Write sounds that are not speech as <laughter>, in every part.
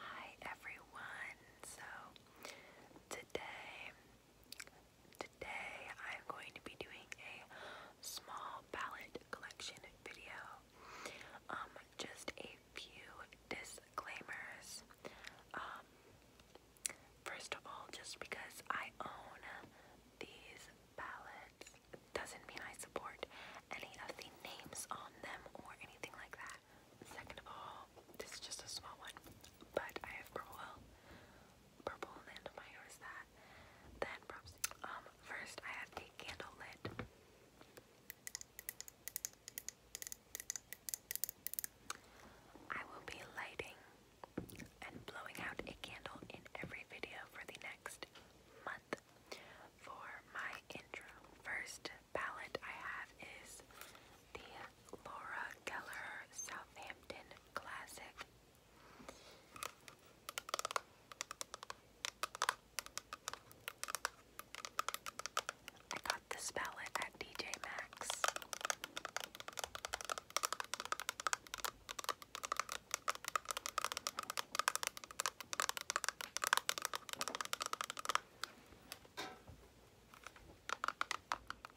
Hi everyone. So today today I'm going to be doing a small palette collection video. Um, just a few disclaimers. Um, first of all, just because I own these palettes doesn't mean I support any of the names on them or anything like that. Second of all, this is just a small one, but I have purple, purple in the end of my nose that. Then um, first I have a candle lit. I will be lighting and blowing out a candle in every video for the next month for my intro. First palette I have is the Laura Geller Southampton Classic. I got this palette at DJ Max.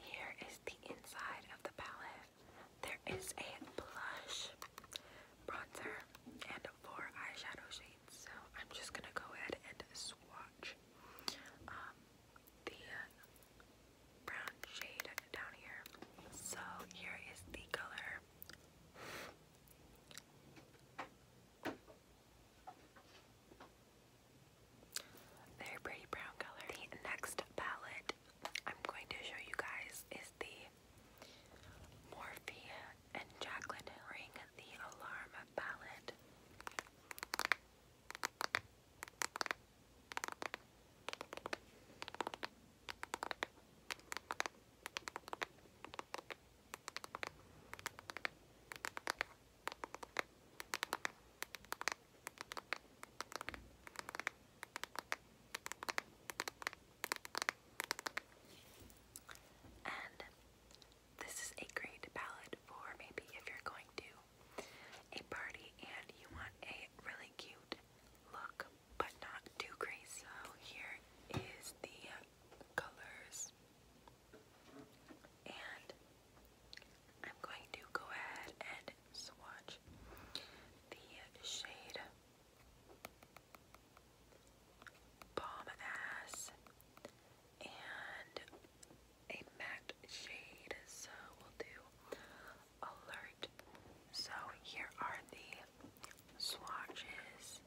Here is the inside of the palette. There is a blush, bronzer, and four eyeshadow shades. So I'm just gonna go ahead and swatch um, the brown shade down here. So here is the color. Very pretty brown color. The next palette I'm going to show you guys is the Morphe and Jacqueline Ring The Alarm palette. And this is a great palette for maybe if you're going to a party and you want a really cute look, but not too crazy. So here is the colors. And I'm going to go ahead and swatch the shade Bomb Ass and a matte shade. So we'll do Alert. So here are the swatches.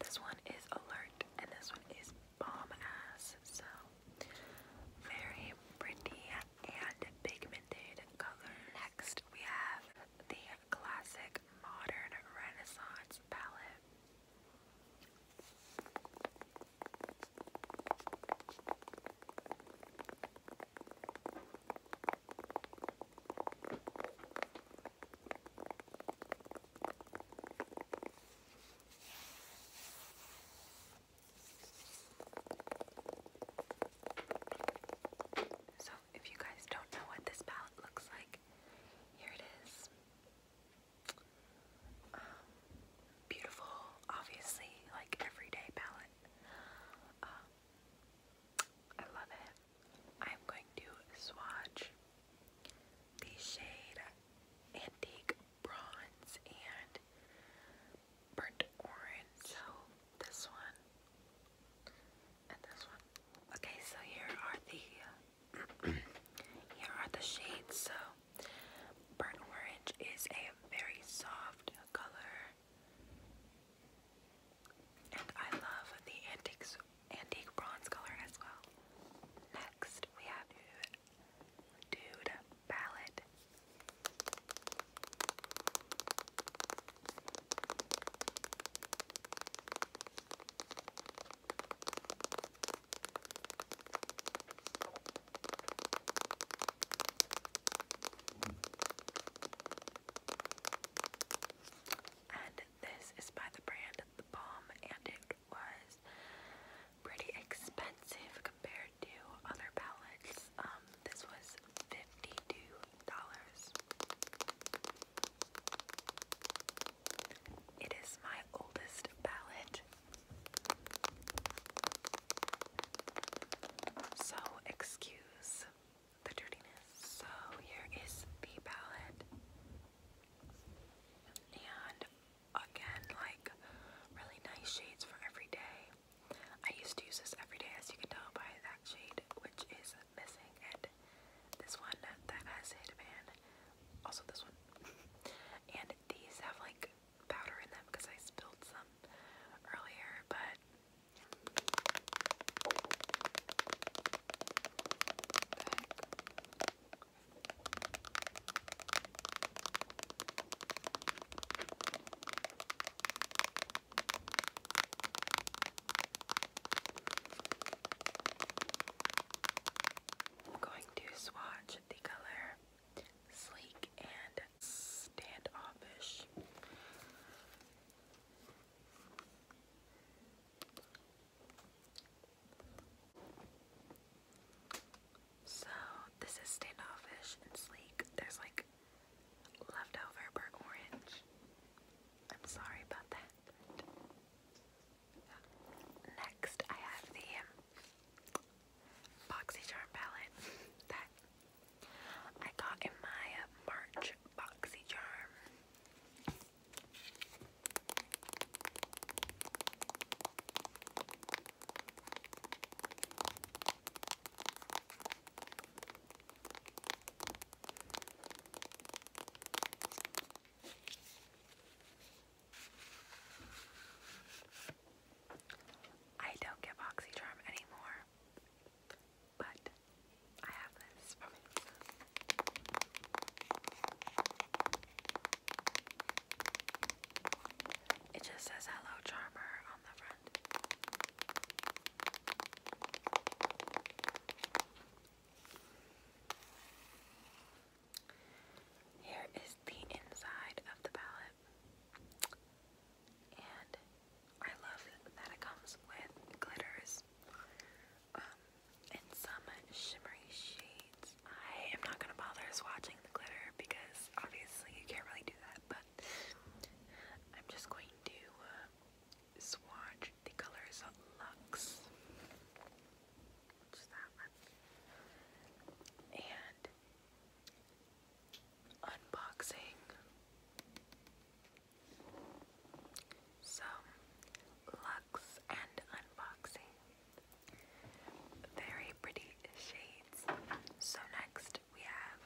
This one is alert and this one is bomb ass. So very pretty and pigmented color. Next we have the classic modern renaissance palette. So, if you guys don't know what this palette looks like, here it is. Um, beautiful, obviously, like everyday palette. Um, I love it. I'm going to swatch the shade Antique Bronze and Burnt Orange. So this one and this one. Okay, so here are the <clears throat> here are the shades. So burnt orange is a very soft color. And I love the antiques, antique bronze color as well. Next, we have Dude Palette. And this is by the brand The Bomb, and it was pretty expensive compared to other palettes. Um, this was fifty-two dollars. It is my oldest palette. So excuse the dirtiness. So here is the palette. And again, like really nice shades for every day. I used to use this every day as you can tell by that shade which is missing and this one that has Hitman. Also this one. <laughs> and these have like powder in them because I spilled some earlier, but I'm going to swatch the color Sleek and bit standoffish. So, this is standoffish and sleek. There's like leftover burnt orange. I'm sorry about that. Next, I have the um, BoxyCharm palette that I got in my March boxy charm. I don't get boxy charm anymore. But I have this from him. It just says hello charmer on the front. Here is the inside of the palette and I love that it comes with glitters um, some shimmery shades. I am not going to bother swatching the glitter because obviously you can't really do that, but I'm just going to uh, swatch the colors of Lux, which that one, and unboxing some Lux and Unboxing. Very pretty shades. So next we have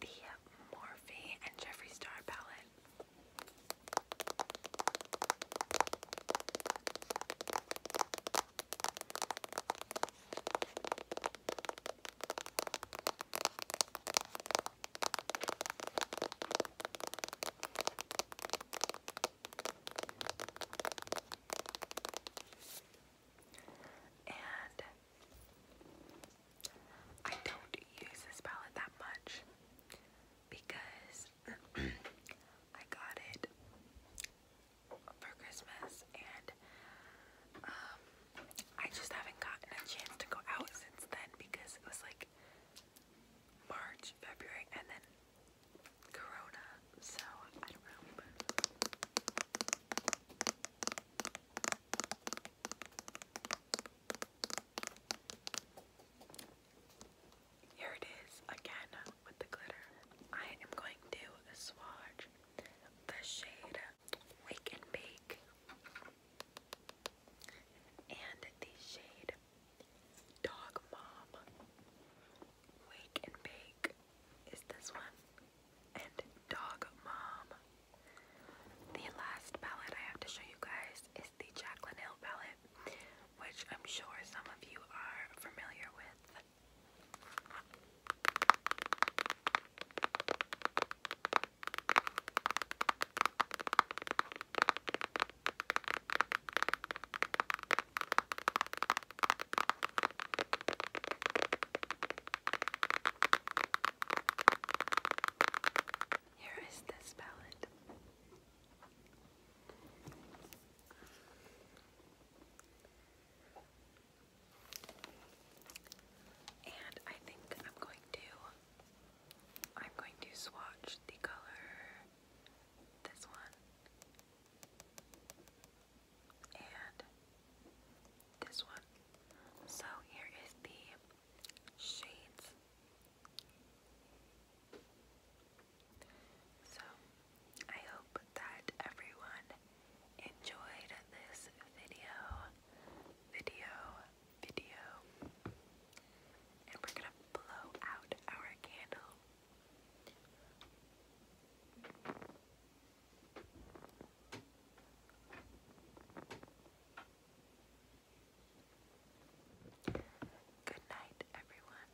the Morphe and Jeffree Star palette. And I don't use this palette that much because <clears throat> I got it for Christmas and um, I just haven't gotten a chance to go out since then because it was like March, February and then Corona, so I don't know. Here it is again with the glitter. I am going to swatch the shade Wake and Bake and the shade Dog Mom. Wake and Bake is this one, and Dog Mom. The last palette I have to show you guys is the Jaclyn Hill palette, which I'm sure some of you are familiar with. Here is this palette. And I think I'm going to I'm going to swatch the color this one and this one. So here is the shades. So, I hope that everyone enjoyed this video, video, video. And we're gonna blow out our candle. Good night, everyone.